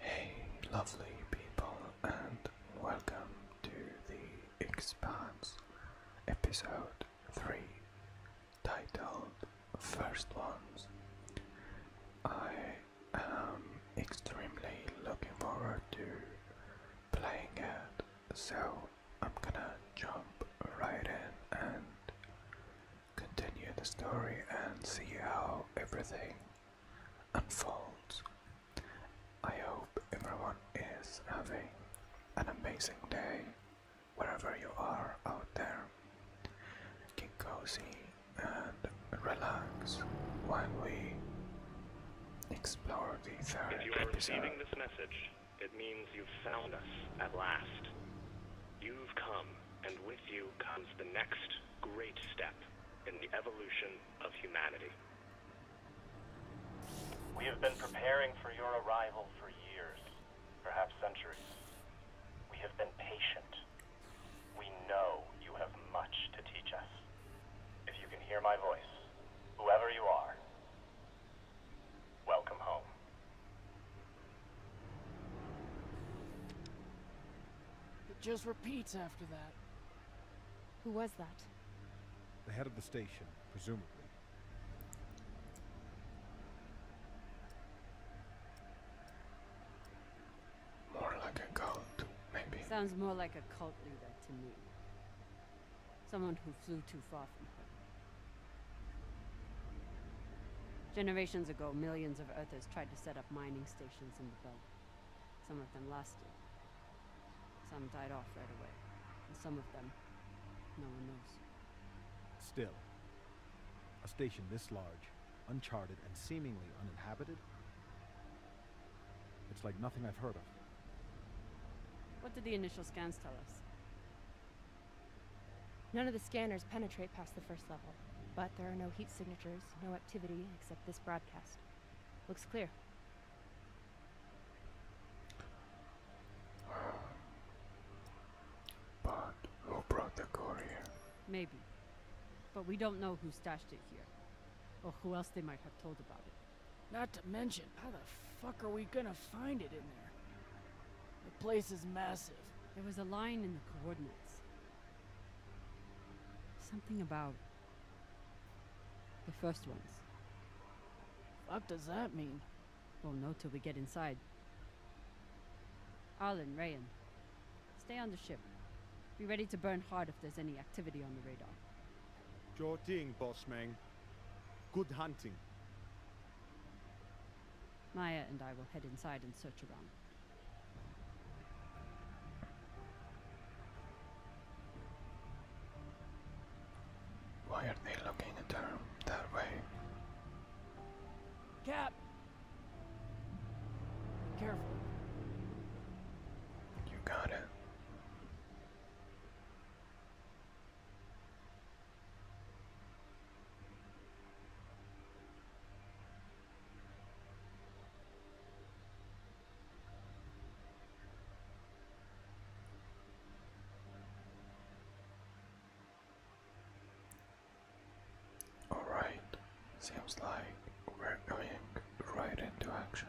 Hey, lovely people, and welcome to The Expanse, episode 3, titled First Ones. I am extremely looking forward to playing it, so I'm gonna jump right in and continue the story and see how everything unfolds. I hope everyone is having an amazing day wherever you are out there. Get cozy and relax while we explore the third If you are receiving this message, it means you've found us at last. You've come, and with you comes the next great step in the evolution of humanity. We have been preparing for your arrival for years, perhaps centuries. We have been patient. We know you have much to teach us. If you can hear my voice, whoever you are, welcome home. It just repeats after that. Who was that? The head of the station, presumably. More like a cult, maybe. Sounds more like a cult leader to me. Someone who flew too far from home. Generations ago, millions of Earthers tried to set up mining stations in the belt. Some of them lasted. Some died off right away. And some of them, no one knows. Still, a station this large, uncharted and seemingly uninhabited? It's like nothing I've heard of. What did the initial scans tell us? None of the scanners penetrate past the first level, but there are no heat signatures no activity except this broadcast. Looks clear. But who brought the courier? Maybe. But we don't know who stashed it here. Or who else they might have told about it. Not to mention, how the fuck are we gonna find it in there? The place is massive. There was a line in the coordinates. Something about the first ones. Fuck does that mean? We'll know till we get inside. Arlen, Rayan, stay on the ship. Be ready to burn hard if there's any activity on the radar. Sure thing, boss man. Good hunting. Maya and I will head inside and search around. Why are they looking at her that way? Cap! careful. You got it. Alright, seems like we're going right into action.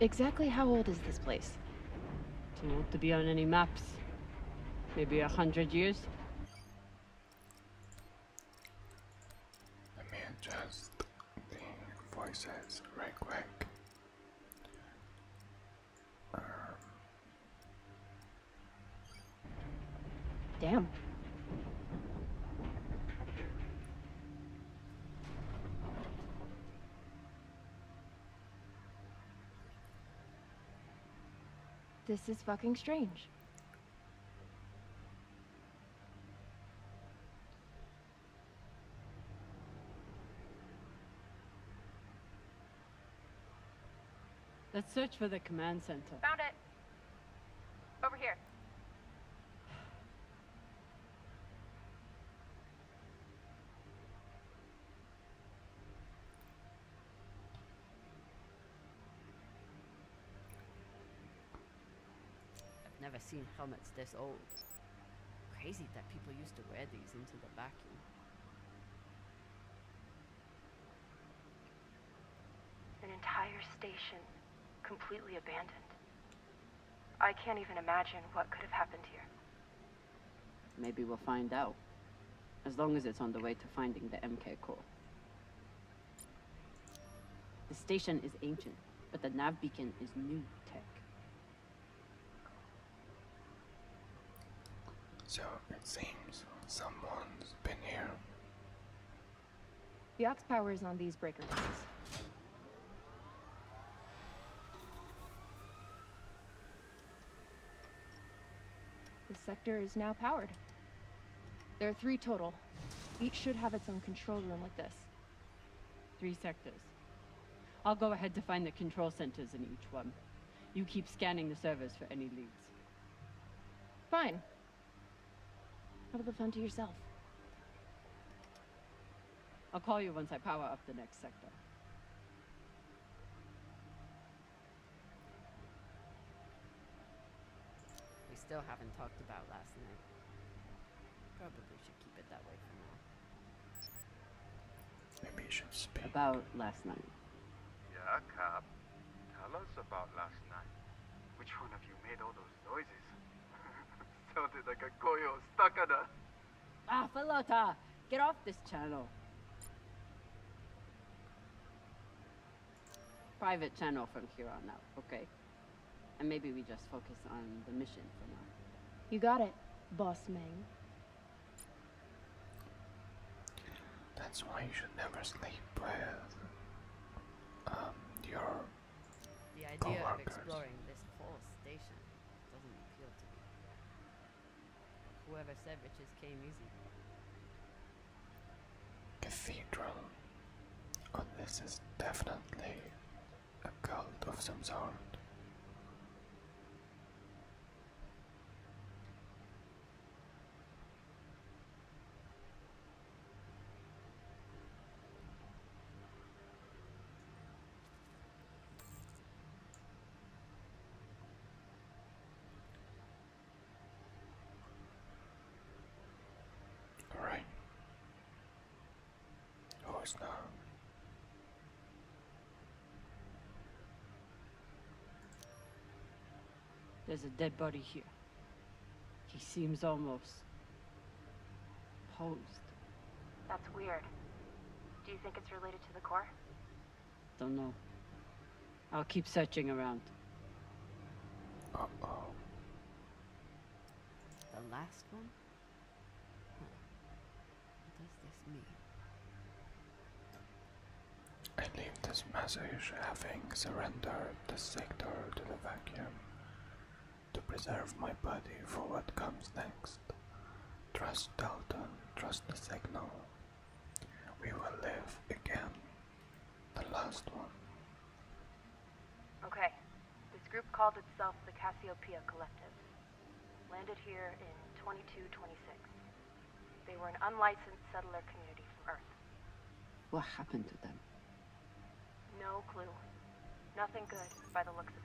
Exactly how old is this place? Don't Too old to be on any maps. Maybe a hundred years? Let me adjust the voices right quick. Damn. This is fucking strange. Let's search for the command center. Found it. Over here. I've never seen helmets this old. Crazy that people used to wear these into the vacuum. An entire station, completely abandoned. I can't even imagine what could have happened here. Maybe we'll find out. As long as it's on the way to finding the MK core. The station is ancient, but the nav beacon is new tech. So it seems someone's been here. The ox power is on these breaker tanks. The sector is now powered. There are three total. Each should have its own control room like this. Three sectors. I'll go ahead to find the control centers in each one. You keep scanning the servers for any leads. Fine. Have a the fun to yourself. I'll call you once I power up the next sector. We still haven't talked about last night. Probably should keep it that way from now. Maybe you should speak. About last night. Yeah, Cap. Tell us about last night. Which one of you made all those noises. Sounded like a koyo stuck Ah, Falota! Get off this channel. Private channel from here on out, okay? And maybe we just focus on the mission for now. You got it, boss Meng. That's why you should never sleep, Brad. Um, the idea of exploring this whole station doesn't appeal to me. Whoever said riches came easy. Cathedral. Oh, this is definitely a cult of some sort. All right. Oh, it's not. There's a dead body here. He seems almost... posed. That's weird. Do you think it's related to the core? Don't know. I'll keep searching around. oh The last one? does this mean? I leave this message having surrendered the sector to the vacuum to preserve my body for what comes next. Trust Dalton, trust the signal. We will live again. The last one. Okay. This group called itself the Cassiopeia Collective. Landed here in 2226. They were an unlicensed settler community from Earth. What happened to them? No clue. Nothing good, by the looks of it.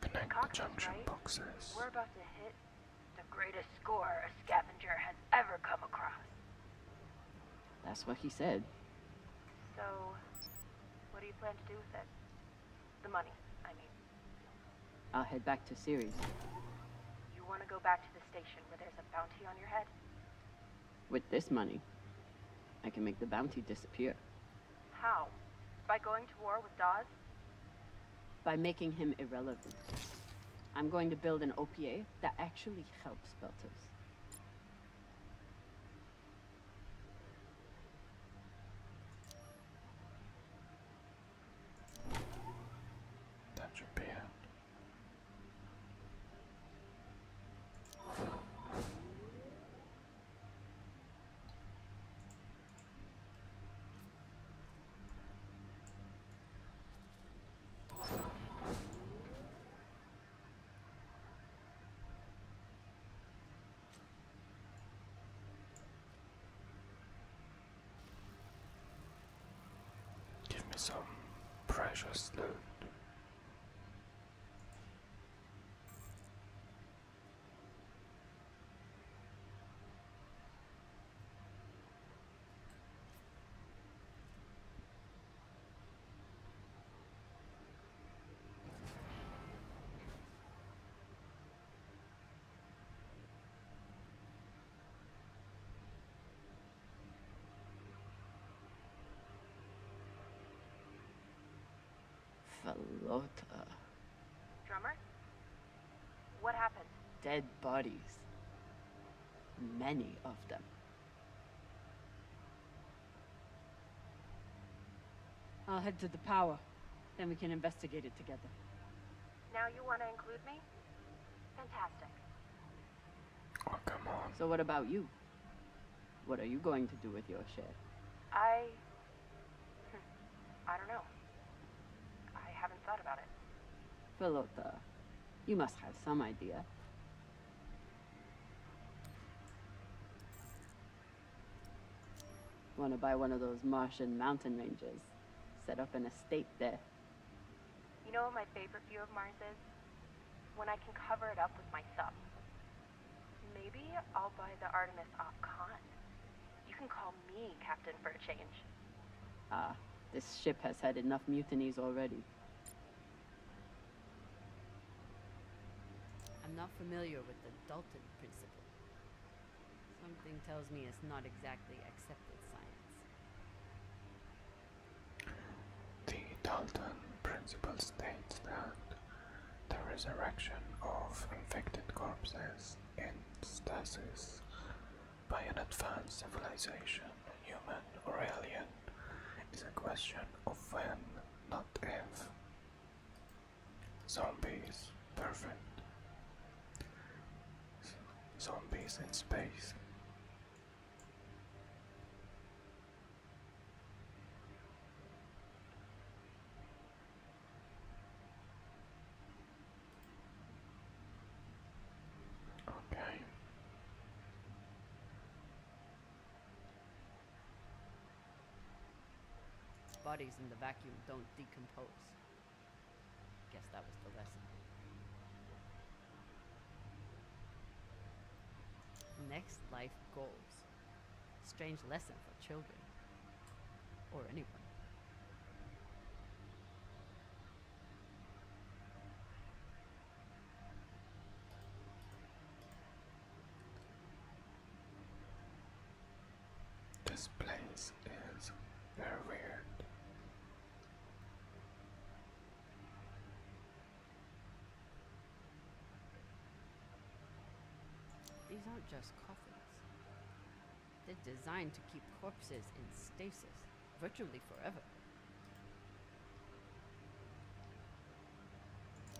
Connect junction boxes. We're about to hit the greatest score a scavenger has ever come across. That's what he said. So, what do you plan to do with it? The money, I mean. I'll head back to Ceres. You want to go back to the station where there's a bounty on your head? With this money, I can make the bounty disappear. How? By going to war with Dawes? By making him irrelevant. I'm going to build an OPA that actually helps Belters. That's your beer. Give me some precious loot. Falota. Drummer? What happened? Dead bodies. Many of them. I'll head to the power. Then we can investigate it together. Now you want to include me? Fantastic. Oh, come on. So what about you? What are you going to do with your share? I... Hmm, I don't know. I haven't thought about it. Pelota, you must have some idea. Want to buy one of those Martian mountain ranges. Set up an estate there. You know what my favorite view of Mars is? When I can cover it up with my sub. Maybe I'll buy the Artemis off Khan. You can call me captain for a change. Ah, this ship has had enough mutinies already. I'm not familiar with the Dalton principle. Something tells me it's not exactly accepted science. The Dalton principle states that the resurrection of infected corpses in stasis by an advanced civilization, human or alien, is a question of when, not if. Zombies, perfect. Zombies in space. Okay. Bodies in the vacuum don't decompose. Guess that was the lesson. Next life goals. Strange lesson for children. Or anyone. This place is very weird. These aren't just coffins. They're designed to keep corpses in stasis virtually forever.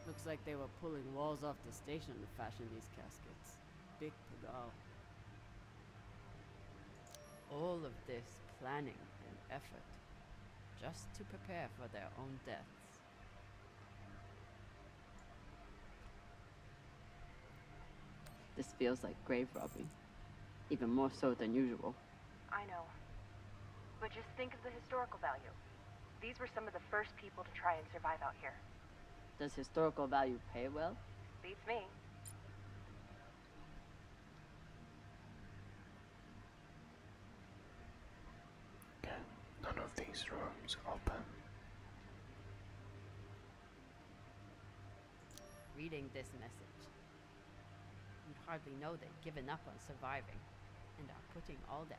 Looks like they were pulling walls off the station to fashion these caskets. Big Pagal. All of this planning and effort, just to prepare for their own deaths. This feels like grave robbing, even more so than usual. I know, but just think of the historical value. These were some of the first people to try and survive out here. Does historical value pay well? Beats me. none of these rooms open. Reading this message, you'd hardly know they would given up on surviving and are putting all their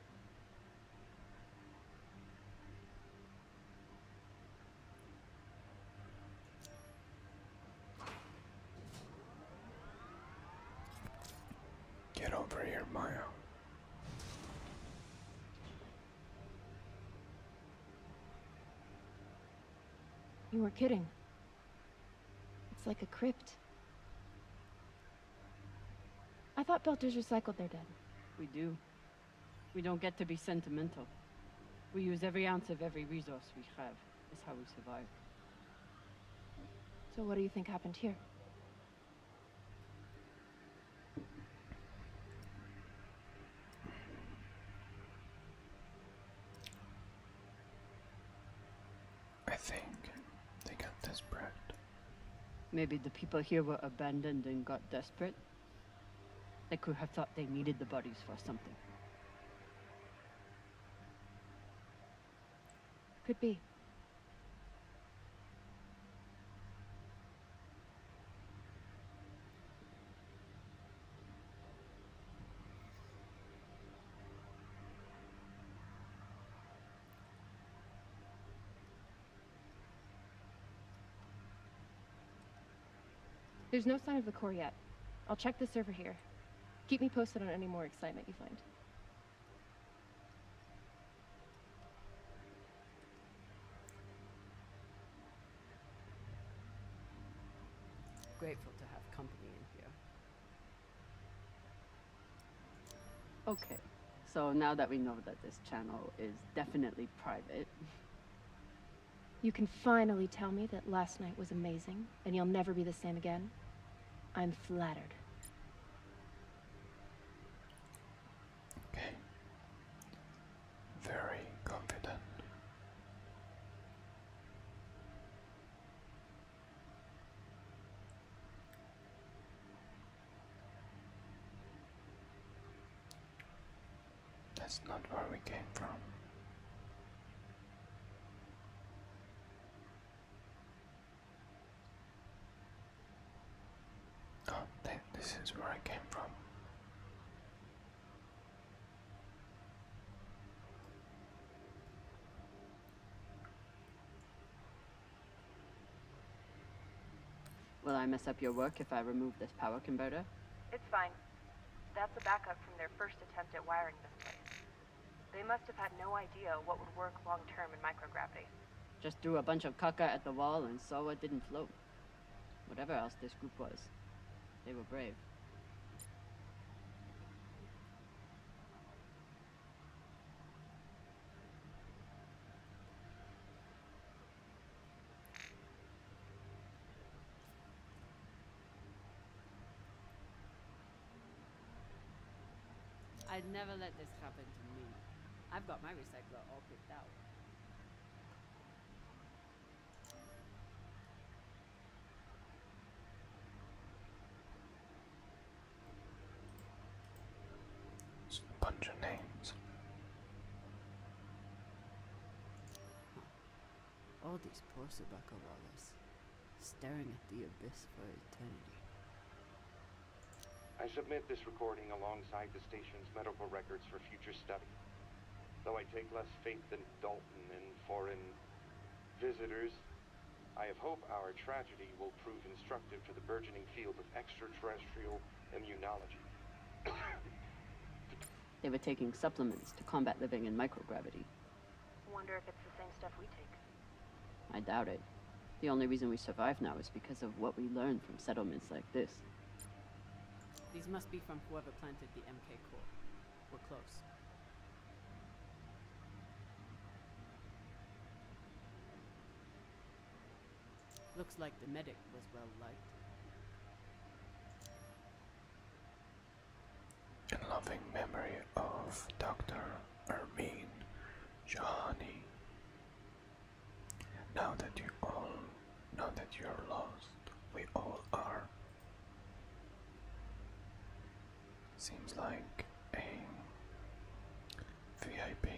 Get over here, Maya. You were kidding. It's like a crypt. I thought Belters recycled their dead. We do. We don't get to be sentimental. We use every ounce of every resource we have. It's how we survive. So what do you think happened here? I think they got desperate. Maybe the people here were abandoned and got desperate. They could have thought they needed the bodies for something. Could be. There's no sign of the core yet. I'll check the server here. Keep me posted on any more excitement you find. Grateful to have company in here. Okay, so now that we know that this channel is definitely private... You can finally tell me that last night was amazing, and you'll never be the same again. I'm flattered. Okay. Very confident. That's not where we came from. Oh, th this is where I came from. Will I mess up your work if I remove this power converter? It's fine. That's a backup from their first attempt at wiring this place. They must have had no idea what would work long term in microgravity. Just threw a bunch of kaka at the wall and saw it didn't float. Whatever else this group was, they were brave. I'd never let this happen to me. I've got my recycler all picked out a bunch of names. All these poor Sabaka staring at the abyss for eternity. I submit this recording alongside the station's medical records for future study. Though I take less faith than Dalton in foreign visitors, I have hope our tragedy will prove instructive to the burgeoning field of extraterrestrial immunology. they were taking supplements to combat living in microgravity. Wonder if it's the same stuff we take. I doubt it. The only reason we survive now is because of what we learned from settlements like this. These must be from whoever planted the MK core. We're close. Looks like the medic was well liked. In loving memory of Dr. Ermine Johnny. Now that you all now that you're lost, we all are. Seems like a VIP.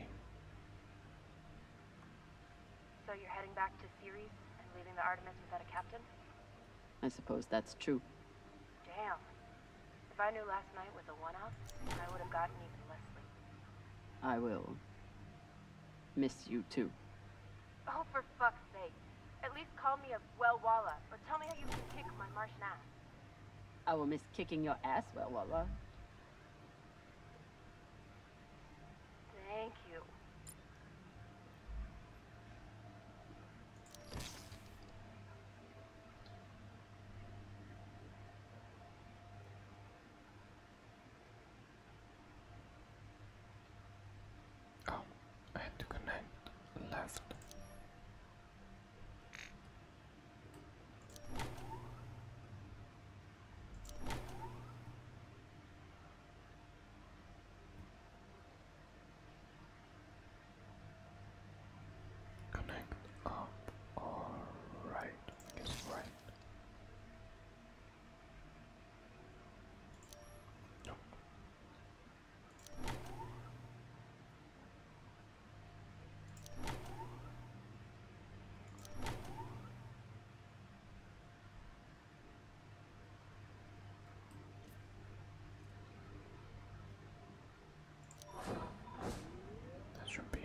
So you're heading back to Ceres and leaving the Artemis without a captain? I suppose that's true. Damn. If I knew last night was a one-off, I would have gotten even less sleep. I will. Miss you too. Oh, for fuck's sake. At least call me a well walla, or tell me how you can kick my Martian ass. I will miss kicking your ass, well, Wawa. Thank you. Oh, I had to connect left. Connect up. All right. Guess right. Nope. That should be it.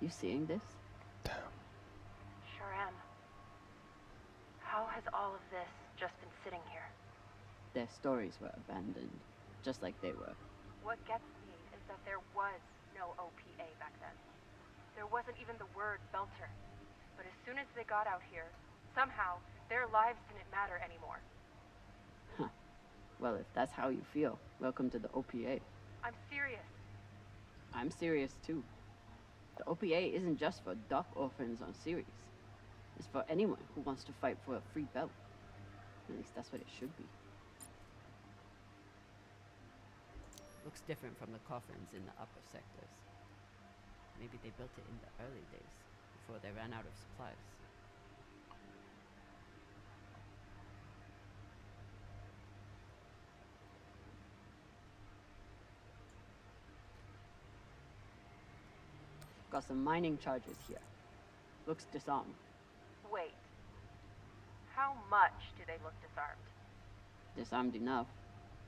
You seeing this? Damn. Sure am. How has all of this just been sitting here? Their stories were abandoned, just like they were. What gets me is that there was no OPA back then. There wasn't even the word Belter. But as soon as they got out here, somehow, their lives didn't matter anymore. Huh. Well, if that's how you feel, welcome to the OPA. I'm serious. I'm serious, too. The OPA isn't just for dock orphans on series. It's for anyone who wants to fight for a free belt. At least that's what it should be. Looks different from the coffins in the upper sectors. Maybe they built it in the early days before they ran out of supplies. Got some mining charges here. Looks disarmed. Wait. How much do they look disarmed? Disarmed enough.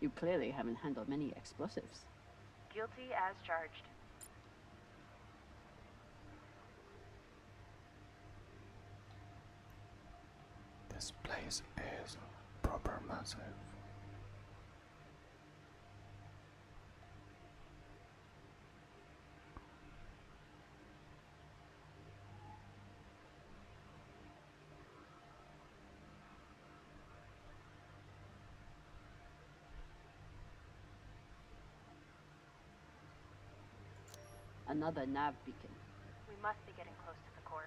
You clearly haven't handled many explosives. Guilty as charged. This place is proper massive. Another nav beacon. We must be getting close to the core.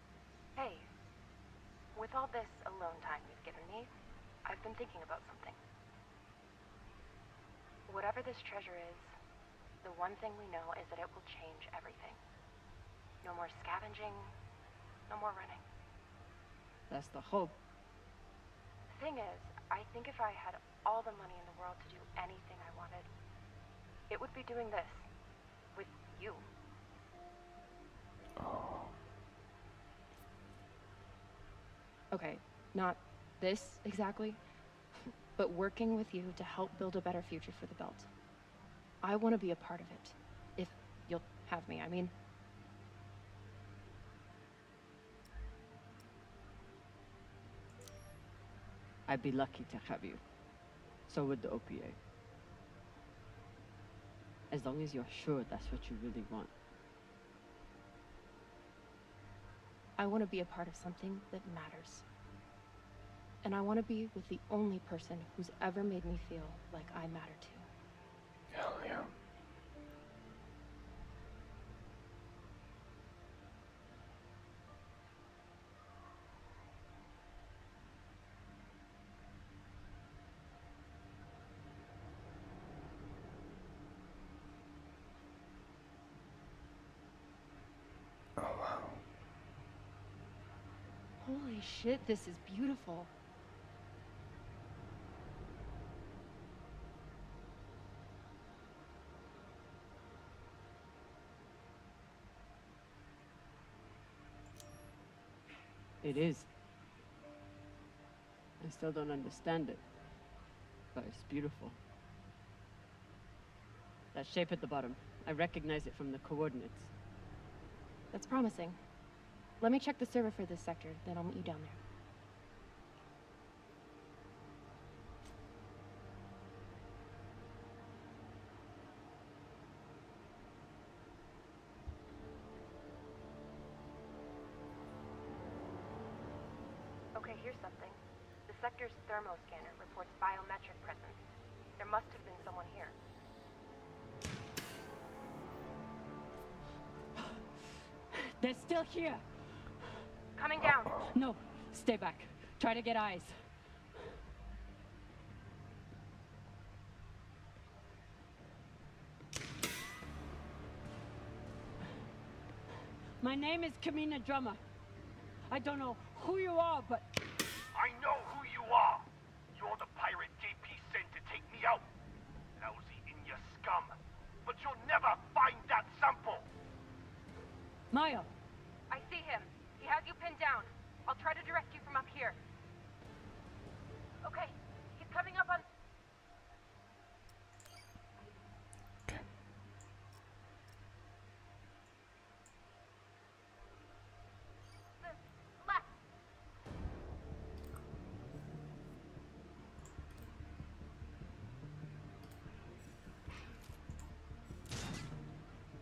Hey, with all this alone time you've given me, I've been thinking about something. Whatever this treasure is, the one thing we know is that it will change everything. No more scavenging, no more running. That's the hope. The thing is, I think if I had all the money in the world to do anything I wanted, it would be doing this. With you. Oh. Okay, not this exactly, but working with you to help build a better future for the belt. I want to be a part of it, if you'll have me, I mean. I'd be lucky to have you. So would the OPA. As long as you're sure that's what you really want. I want to be a part of something that matters. And I want to be with the only person who's ever made me feel like I matter too. Hell yeah. Oh, wow. Holy shit, this is beautiful. It is. I still don't understand it, but it's beautiful. That shape at the bottom, I recognize it from the coordinates. That's promising. Let me check the server for this sector, then I'll meet you down there. Okay, here's something. The sector's thermo scanner reports biometric presence. There must have been someone here. They're still here. Coming down. No, stay back. Try to get eyes. My name is Kamina Drummer. I don't know who you are, but... I know who you are! You're the pirate JP sent to take me out. Lousy in your scum. But you'll never find that sample! Maya! I see him. He has you pinned down. I'll try to direct you from up here. Okay, he's coming up on... Okay.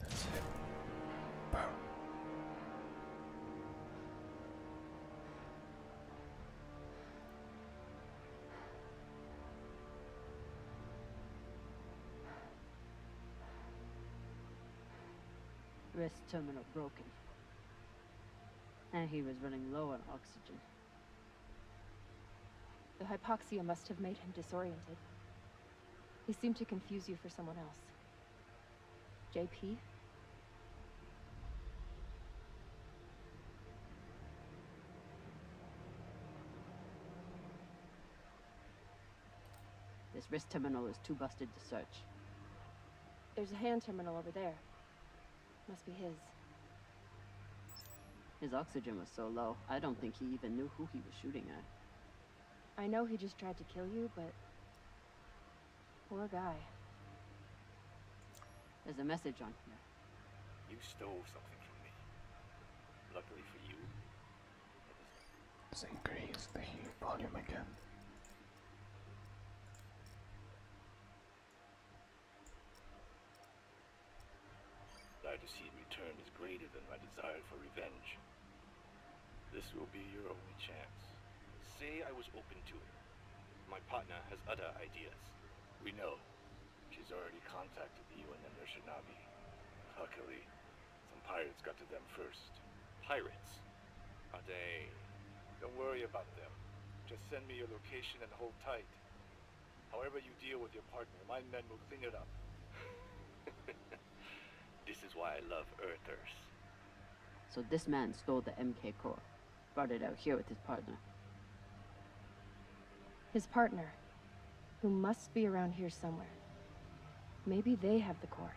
That's it. Boom. Wrist terminal broken. And he was running low on oxygen. The hypoxia must have made him disoriented. He seemed to confuse you for someone else. JP? This wrist terminal is too busted to search. There's a hand terminal over there. Must be his. His oxygen was so low, I don't think he even knew who he was shooting at. I know he just tried to kill you, but... Poor guy. There's a message on here. You stole something from me. Luckily for you, increase the heat volume again. I to see is greater than my desire for revenge. This will be your only chance. Say I was open to it. My partner has other ideas. We know. She's already contacted the UN and their Shinabi. Luckily, some pirates got to them first. Pirates? Are Don't worry about them. Just send me your location and hold tight. However you deal with your partner, my men will clean it up. this is why I love Earthers. So this man stole the MK core, brought it out here with his partner. His partner, who must be around here somewhere. Maybe they have the core.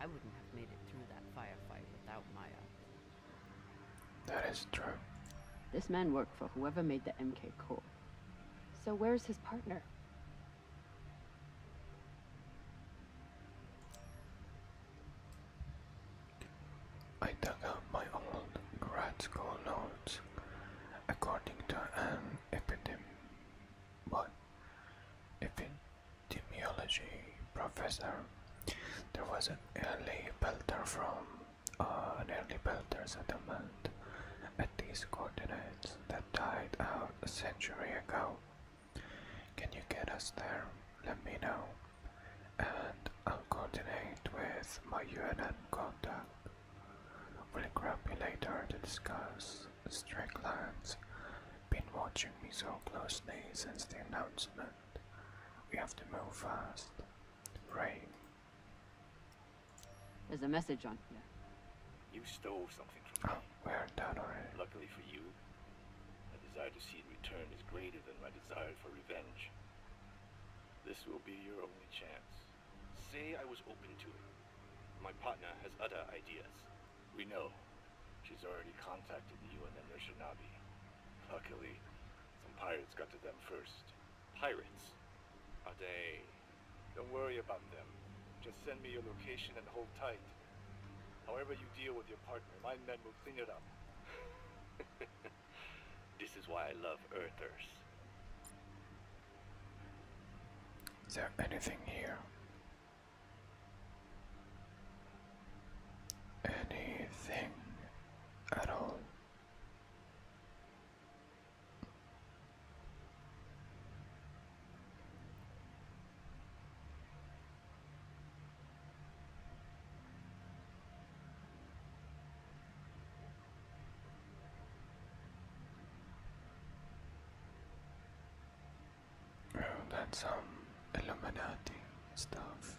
I wouldn't have made it through that firefight without Maya. That is true. This man worked for whoever made the MK core. So where's his partner? I dug up my old grad school notes according to an epidem epidemiology professor. There was an early belter from uh, an early belter settlement at these coordinates that died out a century ago. Can you get us there? Let me know and I'll coordinate with my UNN contact. We'll grab you later to discuss Strickland's been watching me so closely since the announcement. We have to move fast. Ray. There's a message on here. You stole something from oh, me. we're done already. Luckily for you, my desire to see it returned is greater than my desire for revenge. This will be your only chance. Say I was open to it. My partner has other ideas. We know. She's already contacted you and the Shinabi. Luckily, some pirates got to them first. Pirates? Are they... Don't worry about them. Just send me your location and hold tight. However you deal with your partner, my men this is why I love Earthers. Is there anything here? Anything at all? Oh, that's some um, Illuminati stuff.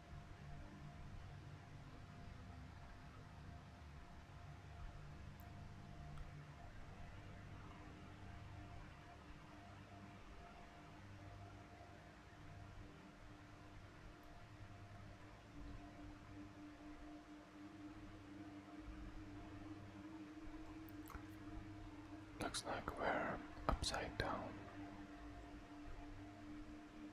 Looks like we're upside down.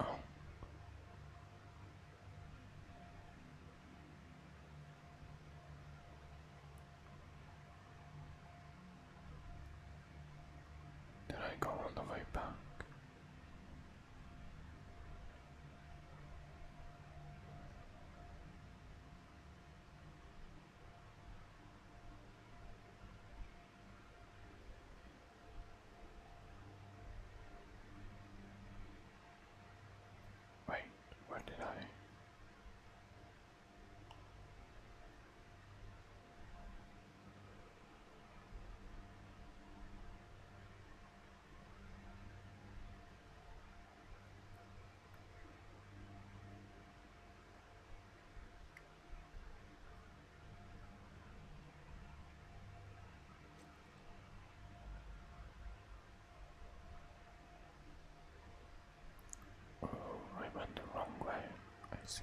Oh. Did I go all the way back? Wait, what did I? Oh, I went the wrong way, I see.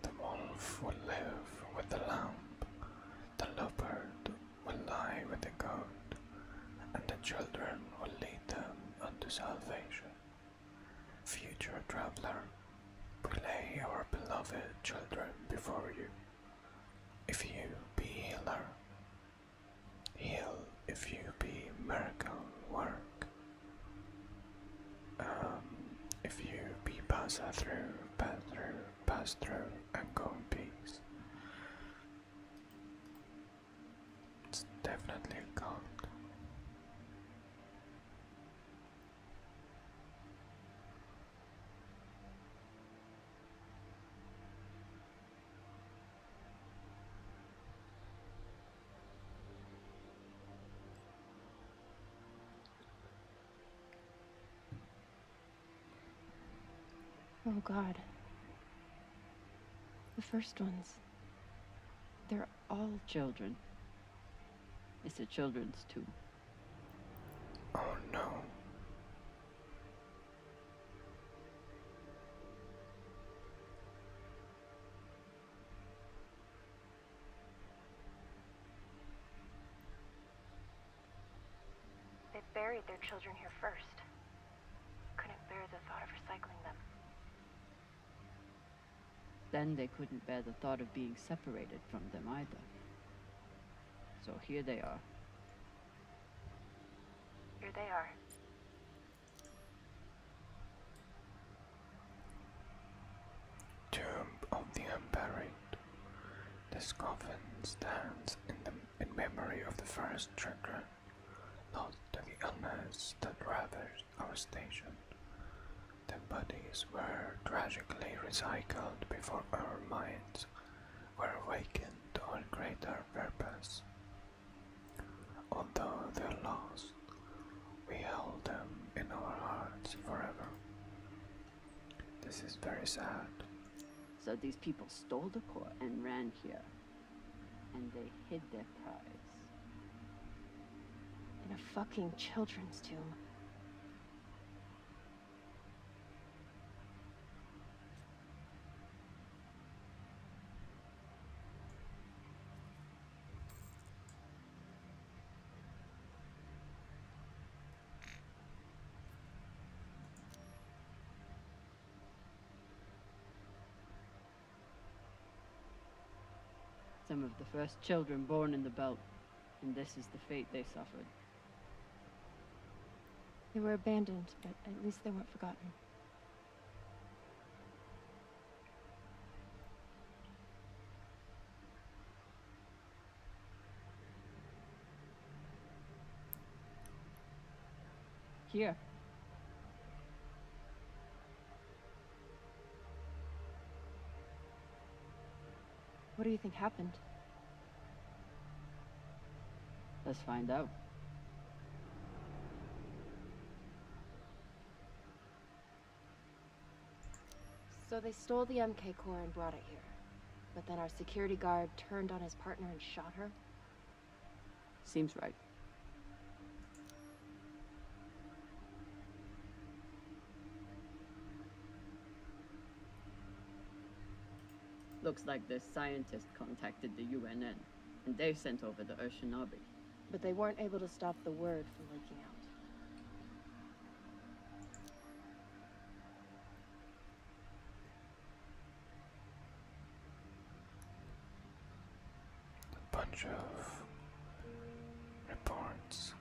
The wolf will live with the lamb, the leopard will lie with the goat, and the children will lead them unto salvation. Future traveler, we lay our beloved children before you. If you be healer, heal if you be miracle work. Um, if you be pass through, pass through, pass through, and go in peace. It's definitely a cult. Oh god. The first ones. They're all children. It's a children's tomb. Oh no. They buried their children here first. Couldn't bear the thought of recycling them. Then they couldn't bear the thought of being separated from them either. So here they are. Here they are. Tomb of the Unburied. This coffin stands in, memory of the first children not to the illness that ravaged our station. Their bodies were tragically recycled before our minds were awakened to a greater purpose. Although they're lost, we hold them in our hearts forever. This is very sad. So these people stole the core and ran here. And they hid their prize. In a fucking children's tomb. Some of the first children born in the belt, and this is the fate they suffered. They were abandoned, but at least they weren't forgotten. Here. What do you think happened? Let's find out. So they stole the MK core and brought it here. But then our security guard turned on his partner and shot her? Seems right. Looks like the scientist contacted the UNN, and they sent over the Urshanabi. But they weren't able to stop the word from leaking out. A bunch of reports.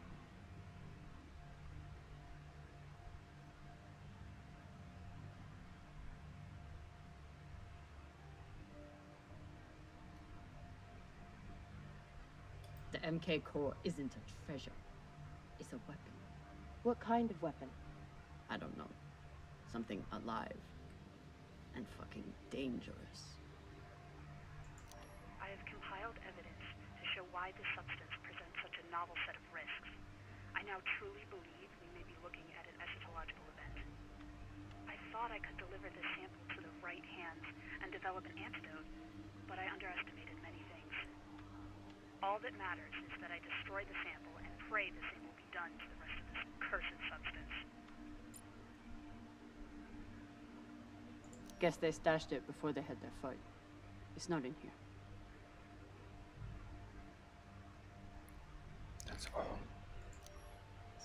The MK core isn't a treasure. It's a weapon. What kind of weapon? I don't know. Something alive. And fucking dangerous. I have compiled evidence to show why this substance presents such a novel set of risks. I now truly believe we may be looking at an eschatological event. I thought I could deliver this sample to the right hands and develop an antidote, but I underestimated many things. All that matters is that I destroy the sample and pray the same will be done to the rest of this cursed substance. Guess they stashed it before they had their fight. It's not in here. That's all.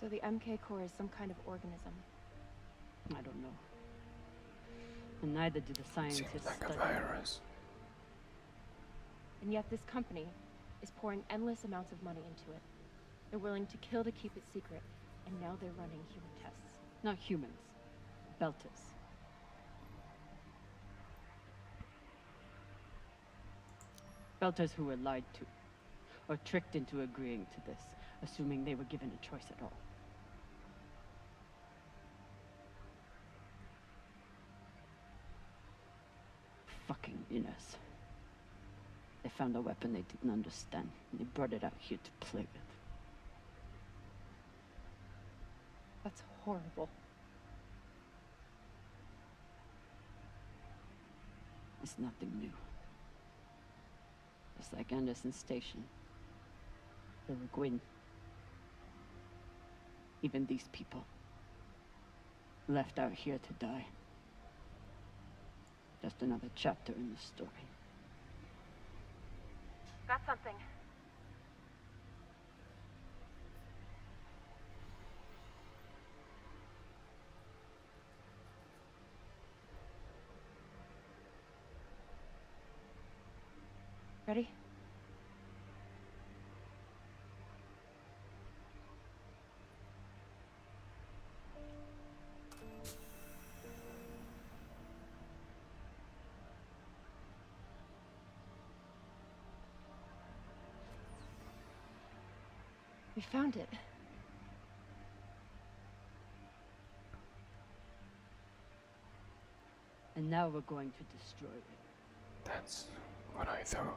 So the MK core is some kind of organism. I don't know. And neither do the scientists. Seems like study. a virus. And yet this company is pouring endless amounts of money into it. They're willing to kill to keep it secret, and now they're running human tests. Not humans. Belters. Belters who were lied to, or tricked into agreeing to this, assuming they were given a choice at all. Fucking Innes. They found a weapon they didn't understand, and they brought it out here to play with. That's horrible. It's nothing new. It's like Anderson Station. River Gwyn. Even these people. Left out here to die. Just another chapter in the story. Got something. Ready? We found it. And now we're going to destroy it. That's what I thought.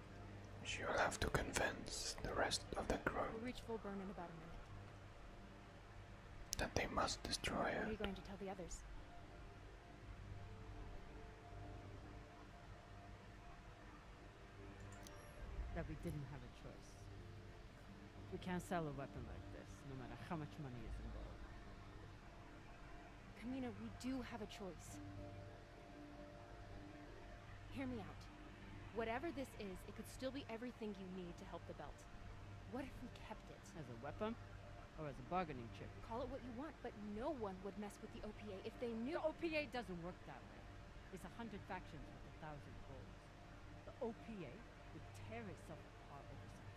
She will have to convince the rest of the crew we'll reach Fulburn in about a minute. that they must destroy her. are you going to tell the others? That we didn't have a choice. We can't sell a weapon like this, no matter how much money is involved. Kamina, we do have a choice. Hear me out. Whatever this is, it could still be everything you need to help the belt. What if we kept it? As a weapon? Or as a bargaining chip? Call it what you want, but no one would mess with the OPA if they knew- The OPA doesn't work that way. It's a hundred factions with a thousand goals. The OPA would tear itself apart over something.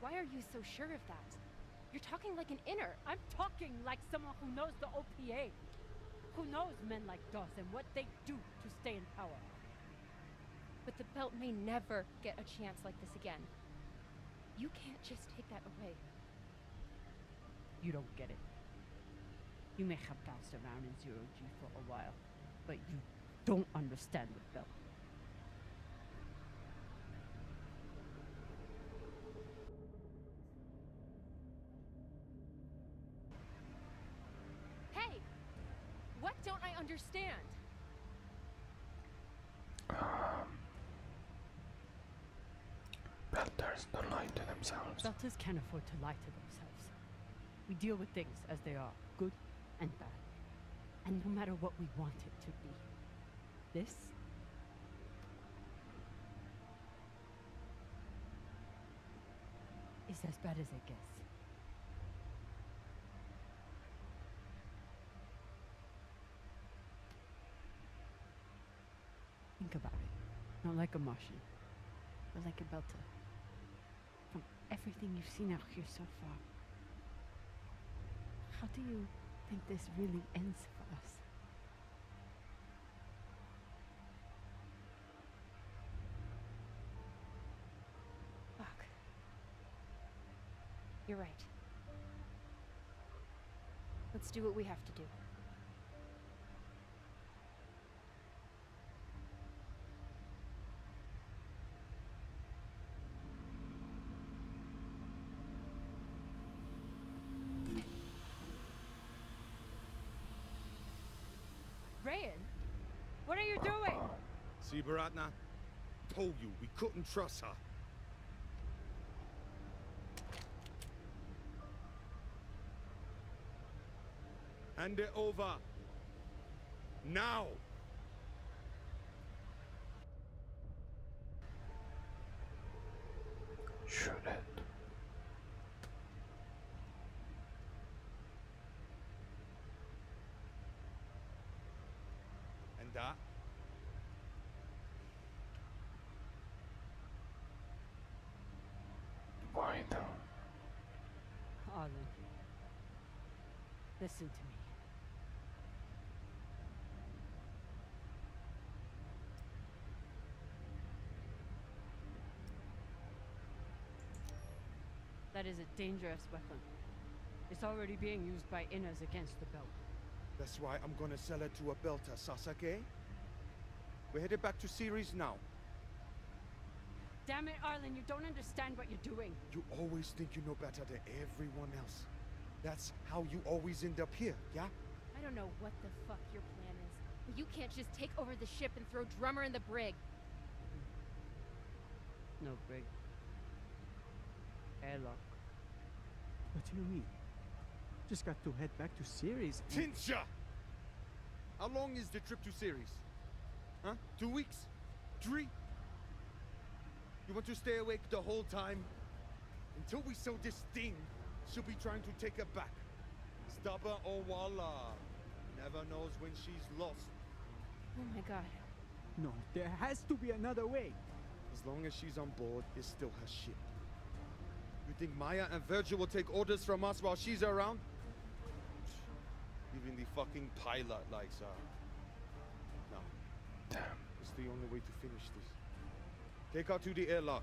Why are you so sure of that? You're talking like an inner. I'm talking like someone who knows the OPA. Who knows men like Dawes and what they do to stay in power. But the belt may never get a chance like this again. You can't just take that away. You don't get it. You may have bounced around in zero G for a while, but you don't understand the belt. Hey! What don't I understand? Belters um, don't lie to themselves. Belters can't afford to lie to themselves. We deal with things as they are, good and bad. And no matter what we want it to be. This is as bad as it gets. Think about it. Not like a Martian, but like a Belter. From everything you've seen out here so far, how do you think this really ends for us? Fuck. You're right. Let's do what we have to do. Rayan, what are you doing? See, Bharatna? Told you, we couldn't trust her. And over. Now! Shoot it. And that? Why though? Arlen, listen to me. That is a dangerous weapon. It's already being used by Inners against the belt. That's why I'm gonna sell it to a belter, Sasaki. We're headed back to Ceres now. Damn it, Arlen, you don't understand what you're doing. You always think you know better than everyone else. That's how you always end up here, yeah? I don't know what the fuck your plan is, but you can't just take over the ship and throw Drummer in the brig. No brig. Airlock. What do you mean? Just got to head back to Ceres. Tinja! How long is the trip to Ceres? Huh? Two weeks? Three? You want to stay awake the whole time? Until we sell this thing, she'll be trying to take it back. Stubba or Walla. Never knows when she's lost. Oh my god. No, there has to be another way. As long as she's on board, it's still her ship. You think Maya and Virgil will take orders from us while she's around? Even the fucking pilot likes her. No. Damn. It's the only way to finish this. Take her to the airlock.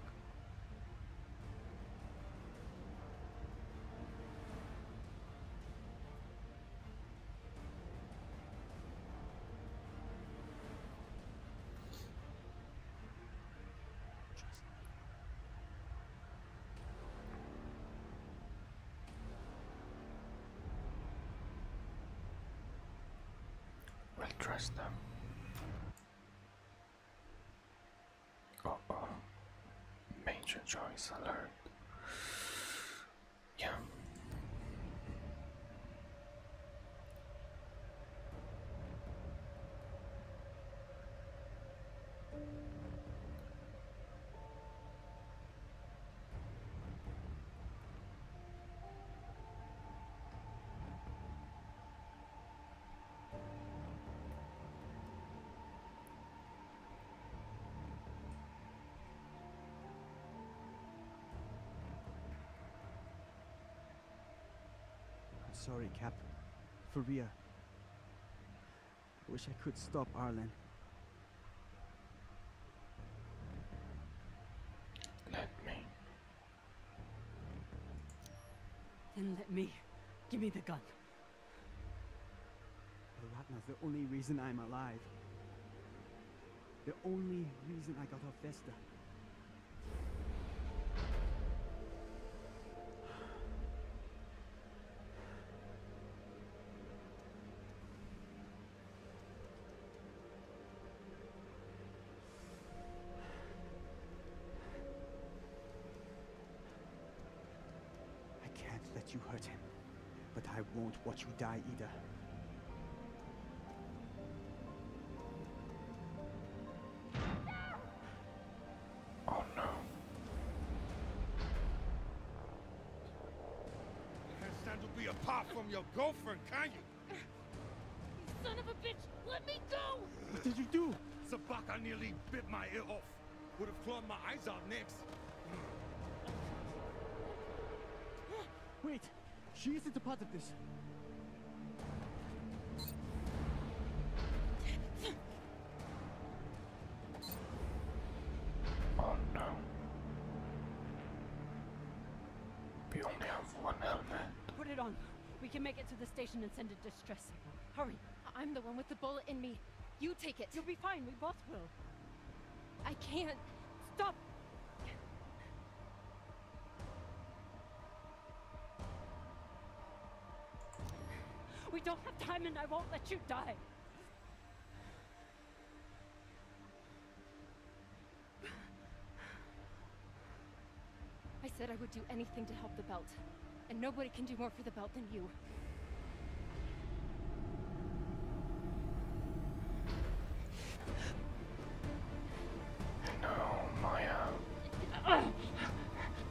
We'll trust them. Oh, oh. Major choice alert. Yeah sorry, Cap. For Rhea, I wish I could stop Arlen. Then let me. Give me the gun. The rat Alatna's the only reason I'm alive. The only reason I got off Vesta. I can't let you hurt him, but I won't watch you die either. Oh no. You can't stand to be apart from your girlfriend, can you? son of a bitch! Let me go! What did you do? Sabaka nearly bit my ear off. Would have clawed my eyes out next. Wait! She isn't a part of this. Oh no. We only have one helmet. Put it on. We can make it to the station and send a distress signal. Hurry. I'm the one with the bullet in me. You take it. You'll be fine. We both will. I can't. Stop. We don't have time and I won't let you die. I said I would do anything to help the belt. And nobody can do more for the belt than you. No, Maya. Uh,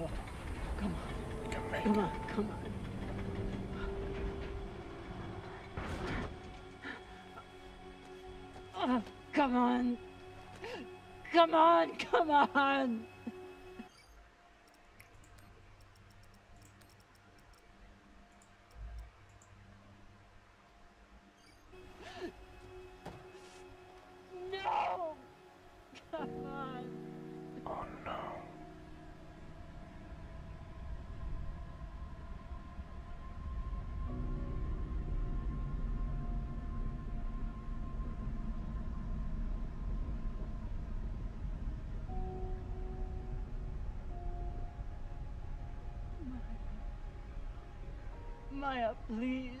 Oh, come on. Come, back. come on, come on. Oh, come on. Come on, come on. No! Oh no. Maya, Maya please.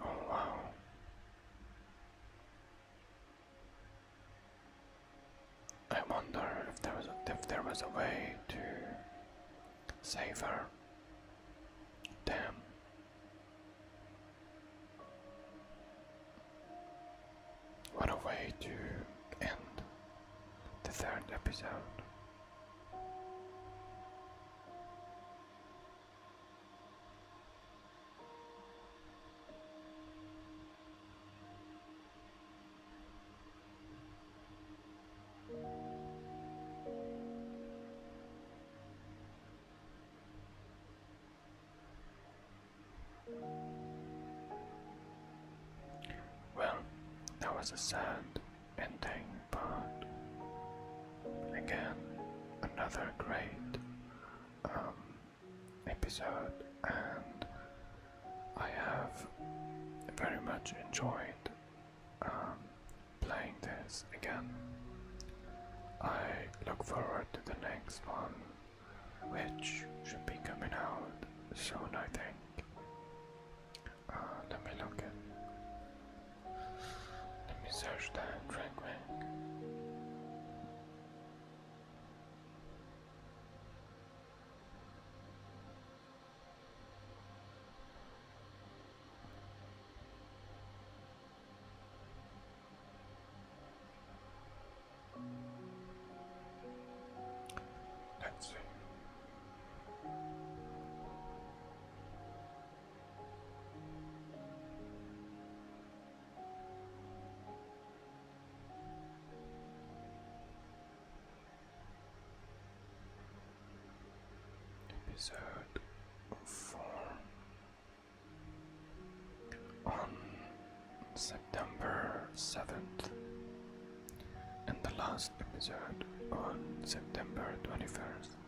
Oh, wow. I wonder if there was a, if there was a way to save her. Damn. What a way to end the third episode. Well, that was a sad ending, but again, another great um, episode, and I have very much enjoyed um, playing this again. I look forward to the next one, which should be coming out soon, I think let me look at. Let me search that right quick. Let's see. Episode four on September seventh and the last episode on September 21st.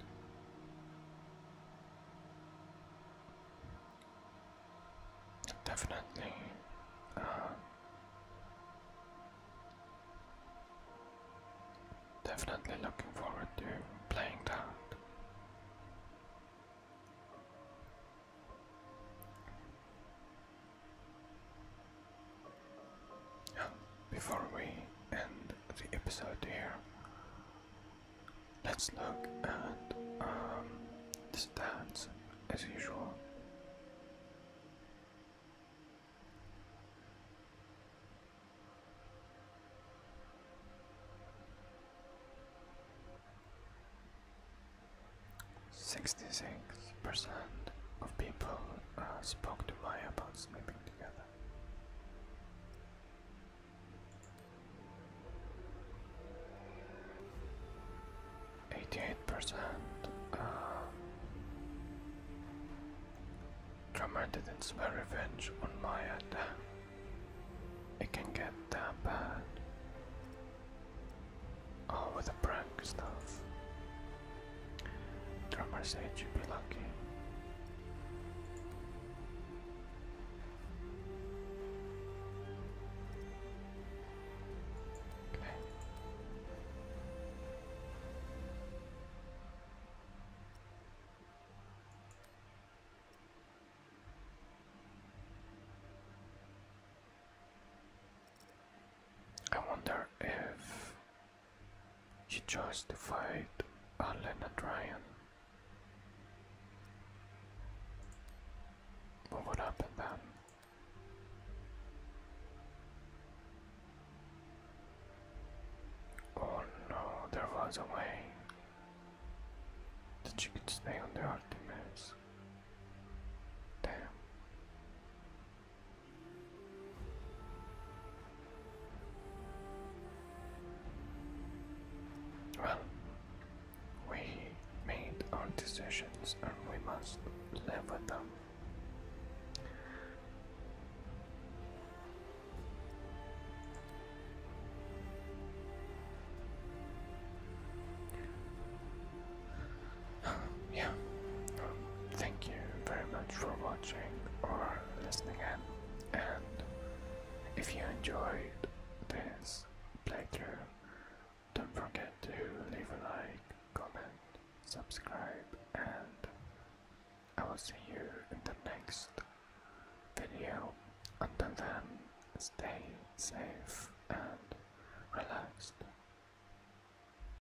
Definitely. Uh, definitely looking forward to playing that. And before we end the episode here, let's look at um, the as usual. Sixty six percent of people uh, spoke to Maya about sleeping together. Eighty-eight percent. Drummer uh, didn't swear revenge on Maya. Damn. It can get that bad. All oh, with the prank stuff. Drummer said you'd be lucky. I wonder if he tries to fight Alena Ryan. But what happened then? Oh no, there was a way that you could stay on the Artemis. Damn. Well, we made our decisions and we must live with them. yeah, thank you very much for watching or listening and if you enjoyed this playthrough, don't forget to leave a like, comment, subscribe, and I will see you in the next video. Until then, stay safe and relaxed.